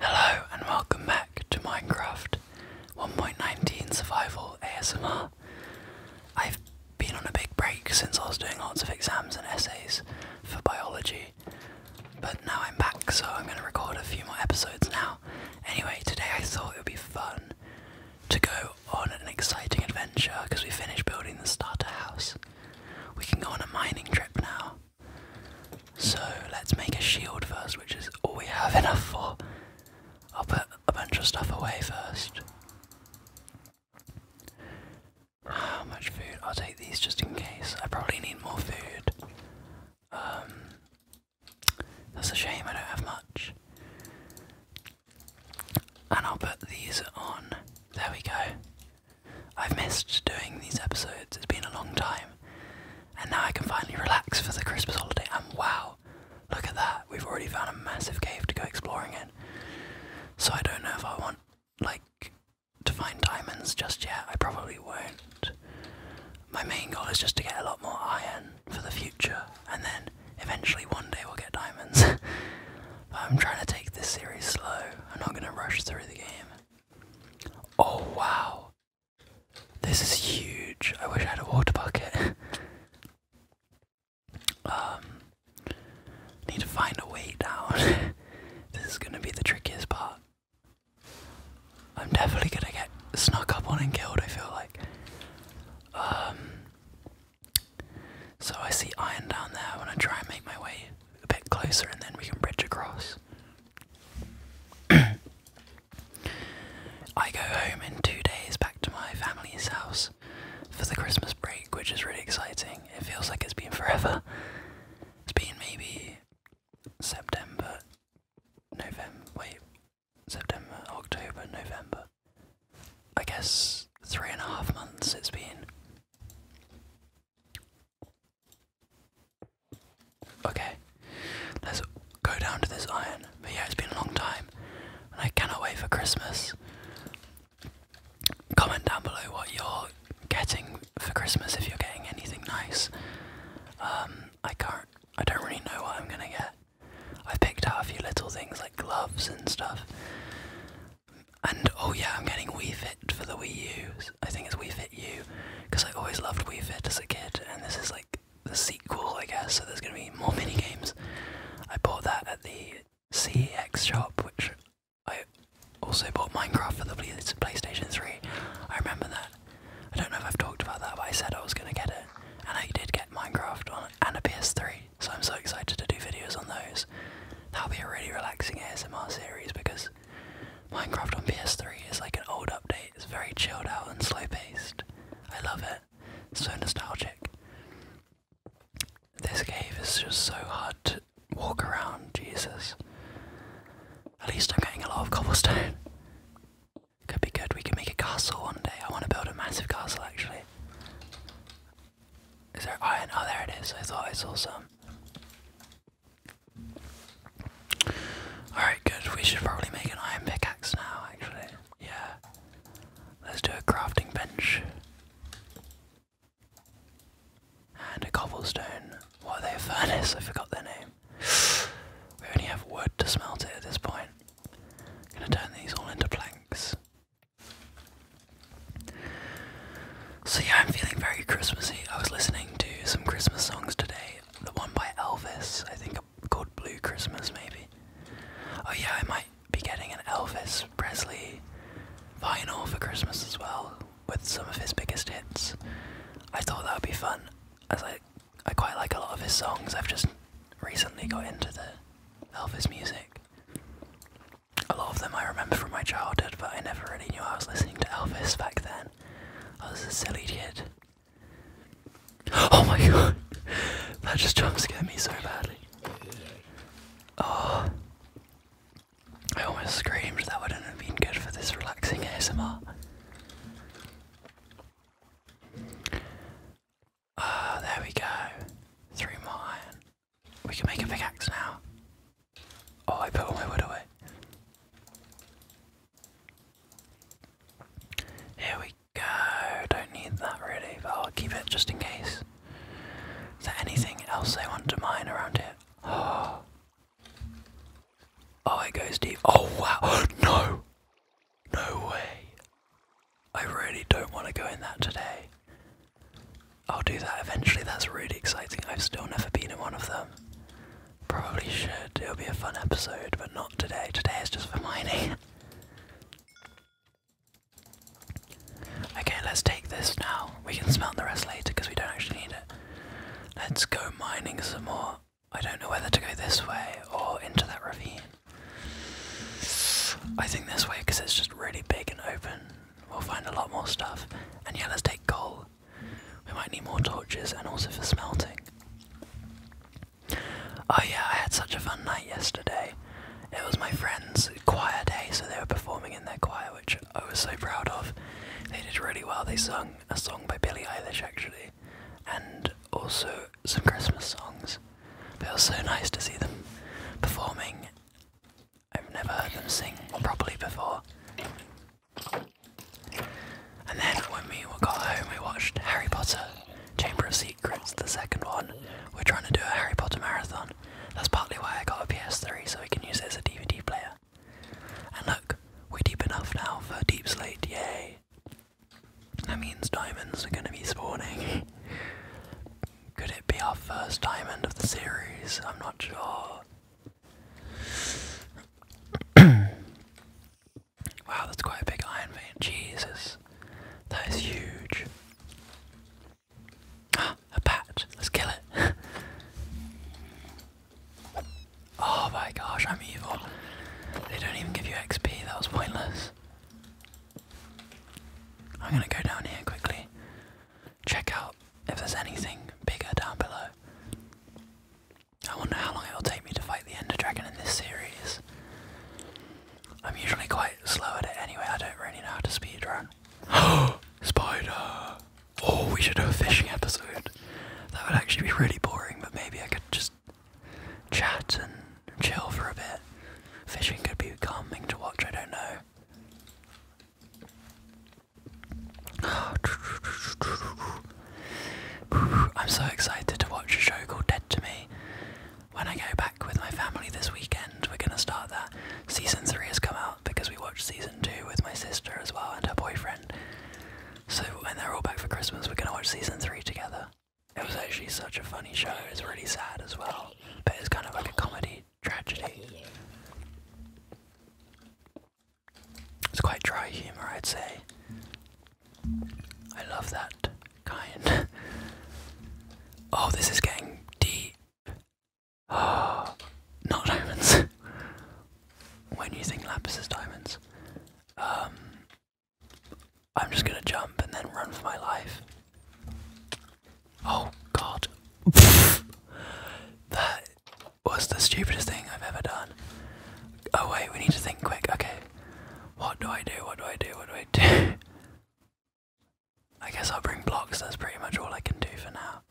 Hello and welcome back to Minecraft 1.19 Survival ASMR. I've been on a big break since I was doing lots of exams and essays for biology, but now I'm back so I'm going to record a few more episodes now. Anyway, today I thought it would be fun to go on an exciting adventure because we finished building the starter house. We can go on a mining trip now. So let's make a shield first, which is all we have enough for. I'll put a bunch of stuff away first. How much food? I'll take these just in case. I probably need more food. Um, that's a shame I don't have much. And I'll put these on. There we go. I've missed doing these episodes, it's been a long time, and now I can finally relax for the Christmas holiday. And wow, look at that, we've already found a massive cave to go exploring in. So I don't know if I want, like, to find diamonds just yet, I probably won't. My main goal is just to get a lot more iron for the future, and then eventually one day we'll get diamonds. but I'm trying to take this series slow, I'm not going to rush through the game. Oh wow. This is huge. I wish I had a water bucket. um need to find a way down. this is gonna be the trickiest part. I'm definitely gonna get snuck up on and killed, I feel like. Um so I see iron down there, I wanna try and make my way a bit closer and then we can bridge across. I go home in two days back to my family's house for the Christmas break, which is really exciting. It feels like it's been forever. It's been maybe September, November, wait, September, October, November. I guess three and a half months it's been. Okay, let's go down to this iron. But yeah, it's been a long time, and I cannot wait for Christmas. Comment down below what you're getting for Christmas if you're getting anything nice. Um, I can't. I don't really know what I'm gonna get. I've picked out a few little things like gloves and stuff. And oh yeah, I'm getting Wii Fit for the Wii U. I think it's Wii Fit U, because I always loved Wii Fit as a kid, and this is like the sequel, I guess. So there's gonna be more mini games. I bought that at the CX shop, which I also bought Minecraft for the PlayStation 3. I remember that. I don't know if I've talked about that, but I said I was gonna get it, and I did get Minecraft on and a PS3. So I'm so excited to do videos on those. That'll be a really relaxing ASMR series because Minecraft on PS3 is like an old update. It's very chilled out and slow paced. I love it. so nostalgic. This cave is just so hard to walk around, Jesus. At least I'm getting a lot of cobblestone. Could be good. We can make a castle one day. I want to build a massive castle actually. Is there iron? Oh, there it is. I thought I saw some. Alright, good. We should probably make an iron pickaxe now, actually. Yeah. Let's do a crafting bench. And a cobblestone. What are they? A furnace? I forgot their name. We only have wood to smelt it at this point. I'm gonna turn these all into planks. So yeah, I'm feeling very Christmassy. I was listening to some Christmas songs today. The one by Elvis, I think called Blue Christmas maybe. Oh yeah, I might be getting an Elvis Presley vinyl for Christmas as well, with some of his biggest hits. I thought that would be fun, as I I quite like a lot of his songs. I've just recently got into the Elvis music. A lot of them I remember from my childhood, but I never really knew I was listening to Elvis back then. I was a silly kid. Oh my god! That just jump scared me so badly. Oh. I almost screamed, that wouldn't have been good for this relaxing ASMR. Ah, oh, there we go. Three more iron. We can make a big axe now. Oh, I put all my wood away. Here we go. Don't need that really, but I'll keep it just in case. Is there anything else they want to mine around here? Oh, oh it goes deep. Oh wow! no, no way. I really don't want to go in that today. I'll do that eventually, that's really exciting. I've still never been in one of them. Probably should. It'll be a fun episode, but not today. Today is just for mining. okay, let's take this now. We can smelt the rest later because we don't actually need it. Let's go mining some more. I don't know whether to go this way or into that ravine. I think this way because it's just really big and open. We'll find a lot more stuff. And yeah, let's take coal. We might need more torches and also for smelting. Oh yeah, I had such a fun night yesterday. It was my friend's choir day, so they were performing in their choir, which I was so proud of. They did really well. They sung a song by Billie Eilish actually, and also some Christmas songs. But it was so nice to see them performing. I've never heard them sing properly before. And then when we got home, we watched Harry Potter Chamber of Secrets, the second one. We're trying to do a Harry Potter marathon. That's partly why I got a PS3 so we can use it as a DVD player. And look, we're deep enough now for Deep Slate, yay! That means diamonds are gonna be spawning. Could it be our first diamond of the series? I'm not sure. wow, that's quite a big iron vein. Jesus. That is huge. Ah, a bat. Let's kill it. oh my gosh, I'm evil. They don't even give you XP, that was pointless. I'm gonna go down here quickly, check out if there's anything bigger down below. I wonder how long it will take me to fight the Ender Dragon in this series. I'm usually quite slow at it anyway, I don't really know how to speedrun. Oh, spider! Oh, we should do a fishing episode. That would actually be really boring, but maybe I could just chat and chill for a bit. Fishing could be calming to watch, I don't know. I'm so excited to watch a show called Dead to Me. When I go back with my family this weekend, we're gonna start that. Season 3 has come out because we watched season 2 with my sister as well and her boyfriend. So when they're all back for Christmas, we're gonna watch season 3 together. It was actually such a funny show. It was really sad as well, but it's kind of like a comedy tragedy. It's quite dry humor, I'd say. I love that kind. oh, this is getting deep. Oh, not diamonds. when you think lapis is diamonds, um, I'm just gonna jump and then run for my life. Oh god. that was the stupidest thing I've ever done. Oh wait, we need to think quick. Okay. What do I do? What do I do? What do I do? I guess I'll bring blocks. That's pretty much all I can do for now.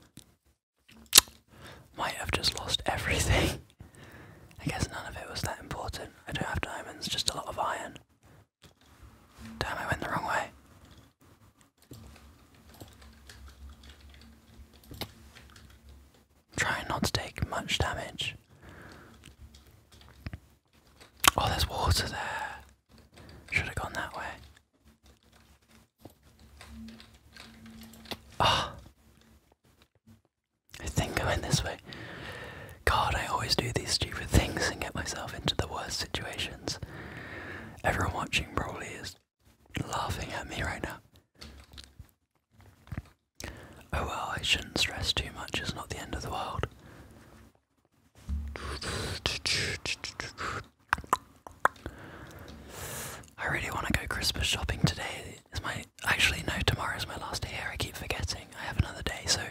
Might have just lost everything. I guess none of it was that important. I don't have diamonds, just a lot of iron. Damn, I went the wrong way. Trying not to take much damage. Oh, there's water there. Should have gone that way. Ah. I think I am went this way. God, I always do these stupid things and get myself into the worst situations. Everyone watching probably is laughing at me right now. Oh well, I shouldn't stress too much, it's not the end of the world. I really want to go Christmas shopping today. It's my Actually, no, tomorrow is my last day here. I keep forgetting. I have another day, so.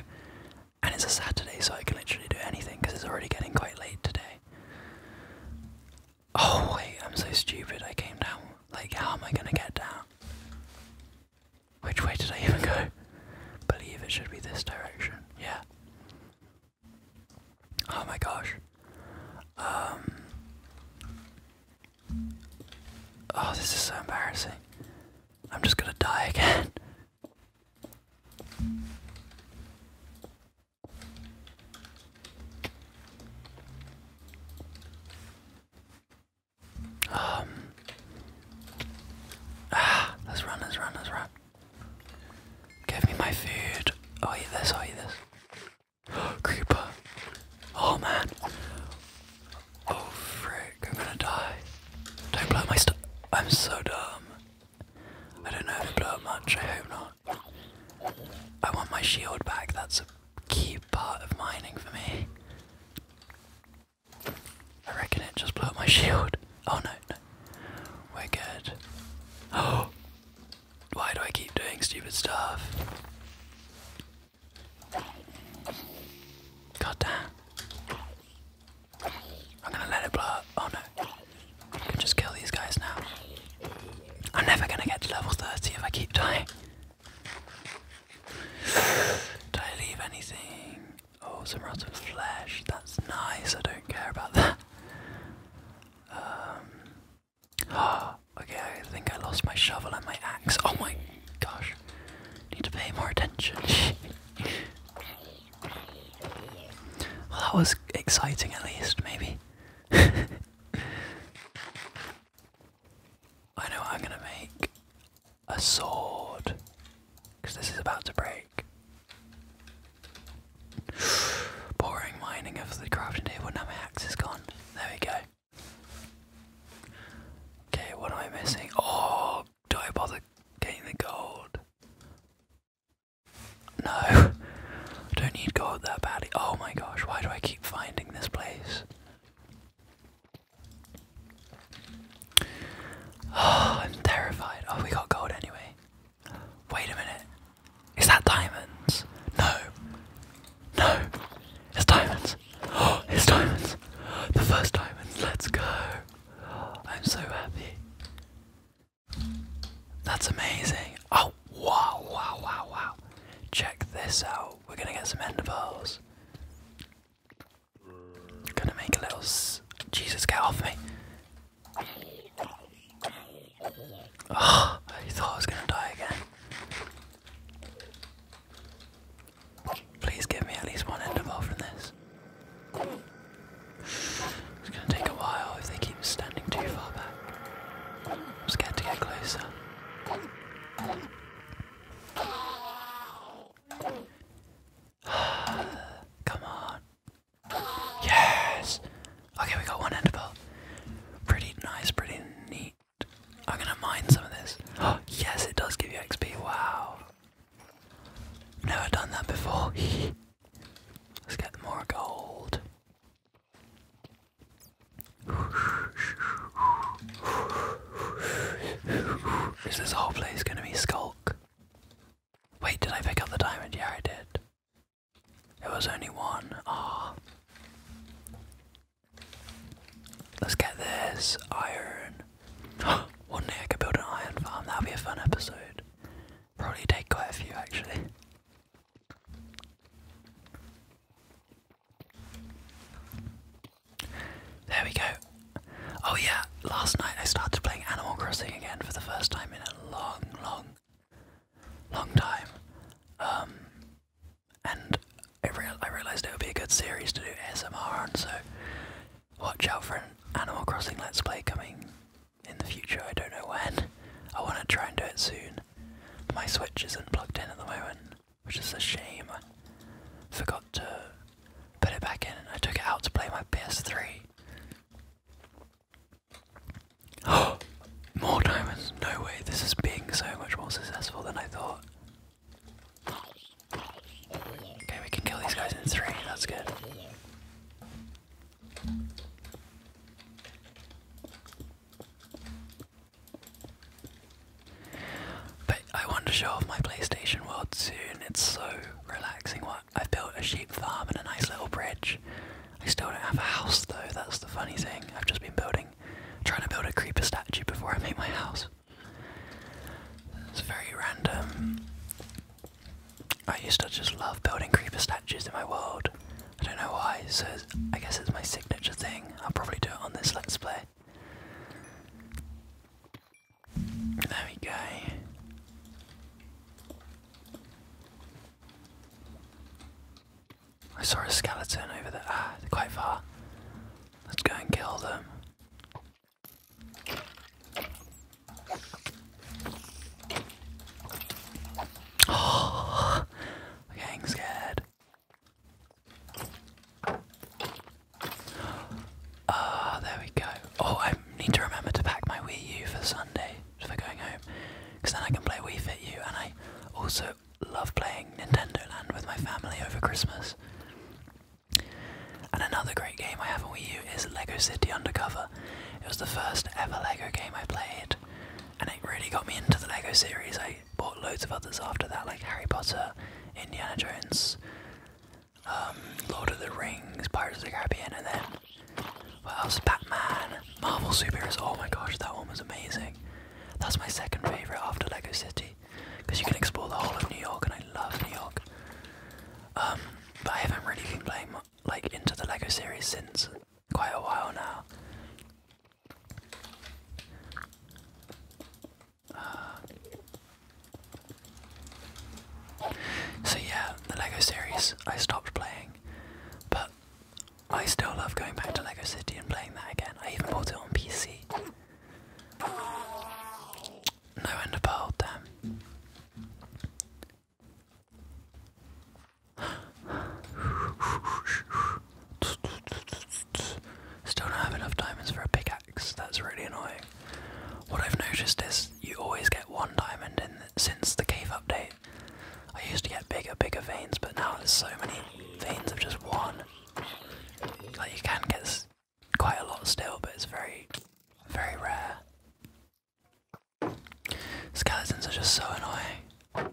And it's a Saturday, so I can literally do anything because it's already getting quite late today. Oh, wait, I'm so stupid. I came down. Like, how am I gonna get down? Which way did I even go? Believe it should be this direction. Yeah. Oh my gosh. Um. Oh, this is so embarrassing. I'm just gonna die again. Um, ah, let's run, let's run, let's run. Give me my food. I'll eat this, I'll eat this. Creeper. Oh man. Oh frick, I'm gonna die. Don't blow my stuff. I'm so dumb. I don't know if it blew up much, I hope not. I want my shield back, that's a key part of mining for me. I reckon it just blew up my shield. Oh no. We're good. Oh! Why do I keep doing stupid stuff? God damn. I'm gonna let it blow Oh no. I can just kill these guys now. I'm never gonna get to level 30 if I keep dying. Did I leave anything? Oh, some rotten flesh. That's nice. I don't care about that. Um, okay, I think I lost my shovel and my axe. Oh my gosh. Need to pay more attention. well, that was exciting at least, maybe. I know I'm gonna make a sword. Because this is about to break. Boring mining of the crafting table. Now my axe is gone. There we go. Okay, what am I missing? Oh, do I bother getting the gold? No, don't need gold that badly. Oh my gosh, why do I keep finding this place? Oh, I'm terrified. Oh, we got gold anyway. Wait a minute. Is that diamonds? No. No. It's diamonds. Oh, it's diamonds. The first diamonds. Let's go. I'm so happy. That's amazing. Oh, wow, wow, wow, wow. Check this out. We're going to get some ender pearls. Gonna make a little. Jesus, get off me. Oh, I thought I was gonna die again. Please give me at least one end of enderpearl from this. It's gonna take a while if they keep standing too far back. I'm scared to get closer. Come on. Yes! Okay, we got one enderpearl. Pretty nice, pretty neat. I'm gonna mine some of this. Oh, yes, it does give you XP. Wow. Never done that before. Let's get more gold. Is this whole place gonna be skulk? Wait, did I pick up the diamond? Yeah, I did. It was only one. Ah. Let's get this iron. one day I could build an iron farm. That'll be a fun episode. Probably take quite a few actually. There we go. Oh yeah, last night I started playing Animal Crossing again for the first time in a long, long, long time. Um, and I, real I realized it would be a good series to do SMR on, so watch out for an Animal Crossing Let's Play coming in the future. I don't know when. I want to try and do it soon. My Switch isn't plugged in at the moment, which is a shame. I forgot to put it back in, I took it out to play my PS3. Oh, more diamonds? No way, this is being so much more successful than I thought. Okay, we can kill these guys in three, that's good. But I want to show off my PlayStation world soon. It's so relaxing. What I've built a sheep farm and a nice little bridge. I still don't have a house though, that's the funny thing. I've just been building, trying to build a creeper statue before I make my house. It's very random. I used to just love building creeper statues in my world. I don't know why, so I guess it's my signature thing. I'll probably do it on this Let's Play. There we go. I saw a skeleton over there. Ah, quite far. Let's go and kill them. Oh, getting scared. Ah, there we go. Oh, I need to remember to pack my Wii U for Sunday for going home, because then I can play Wii Fit U, and I also love playing Nintendo Land with my family over Christmas. And another great game I have on Wii U is Lego City Undercover. It was the first ever Lego game I played, and it really got me into the Lego series. I bought loads of others after that, like Harry Potter, Indiana Jones, um, Lord of the Rings, Pirates of the Caribbean, and then what else? Batman, Marvel superheroes. Oh my gosh, that one was amazing. That's my second favorite after Lego City, because you can explore the whole of New York, and I love New York. Um, but I haven't really been playing like into the Lego series since quite a while now. so yeah, the Lego series I stopped playing, but I still love going back to Lego City and playing that again. I even bought it on PC. No end of Still don't have enough diamonds for a pickaxe. That's really annoying. What I've noticed is you always get one diamond in since the cave update. I used to get bigger, bigger veins, but now there's so many veins of just one. Like, you can get quite a lot still, but it's very, very rare. Skeletons are just so annoying.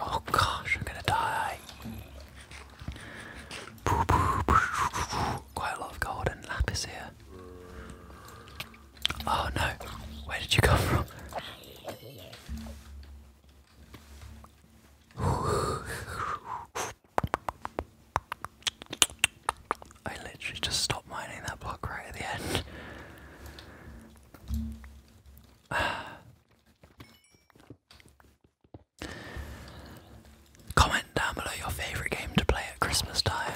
Oh gosh, I'm gonna die. Quite a lot of gold and lapis here. Oh no, where did you come from? I literally just stopped mining that block right at the end. Comment down below your favourite game to play at Christmas time.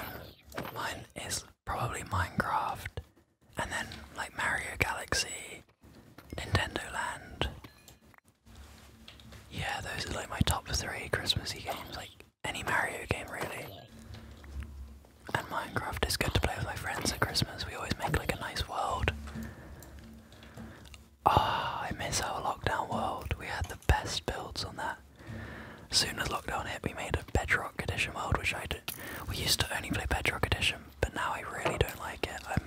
Mine is probably Minecraft, and then like Mario Galaxy, Nintendo Land. Yeah, those are like my top three Christmassy games, like any Mario game really. And Minecraft is good to play with my friends at Christmas. We always make like a nice world. Ah, I miss our lockdown world. We had the best builds on that. Soon as lockdown hit, we made a Bedrock Edition world, which I did. We used to only play Bedrock Edition, but now I really don't like it. I'm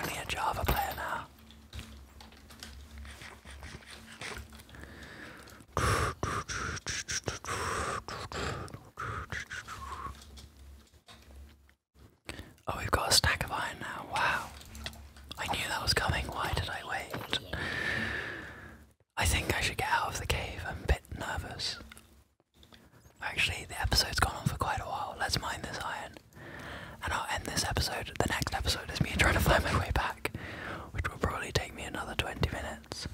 only a Java player now. Oh, we've got a stack of iron now. Wow. I knew that was coming, why did I wait? I think I should get out of the cave, I'm a bit nervous. Actually, the episode's gone on for quite a while, let's mine this iron. And I'll end this episode, the next episode is me trying to find my way back, which will probably take me another 20 minutes.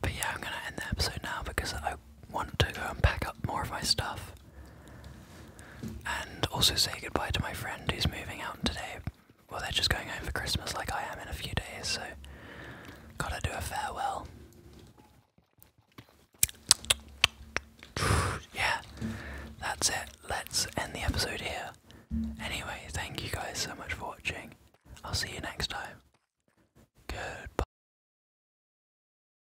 But yeah, I'm gonna end the episode now because I want to go and pack up more of my stuff. And also say goodbye to my friend who's moving out today. Well, they're just going home for Christmas like I am in a few days, so gotta do a farewell. yeah, that's it. Let's end the episode here. Anyway, thank you guys so much for watching. I'll see you next time. Goodbye.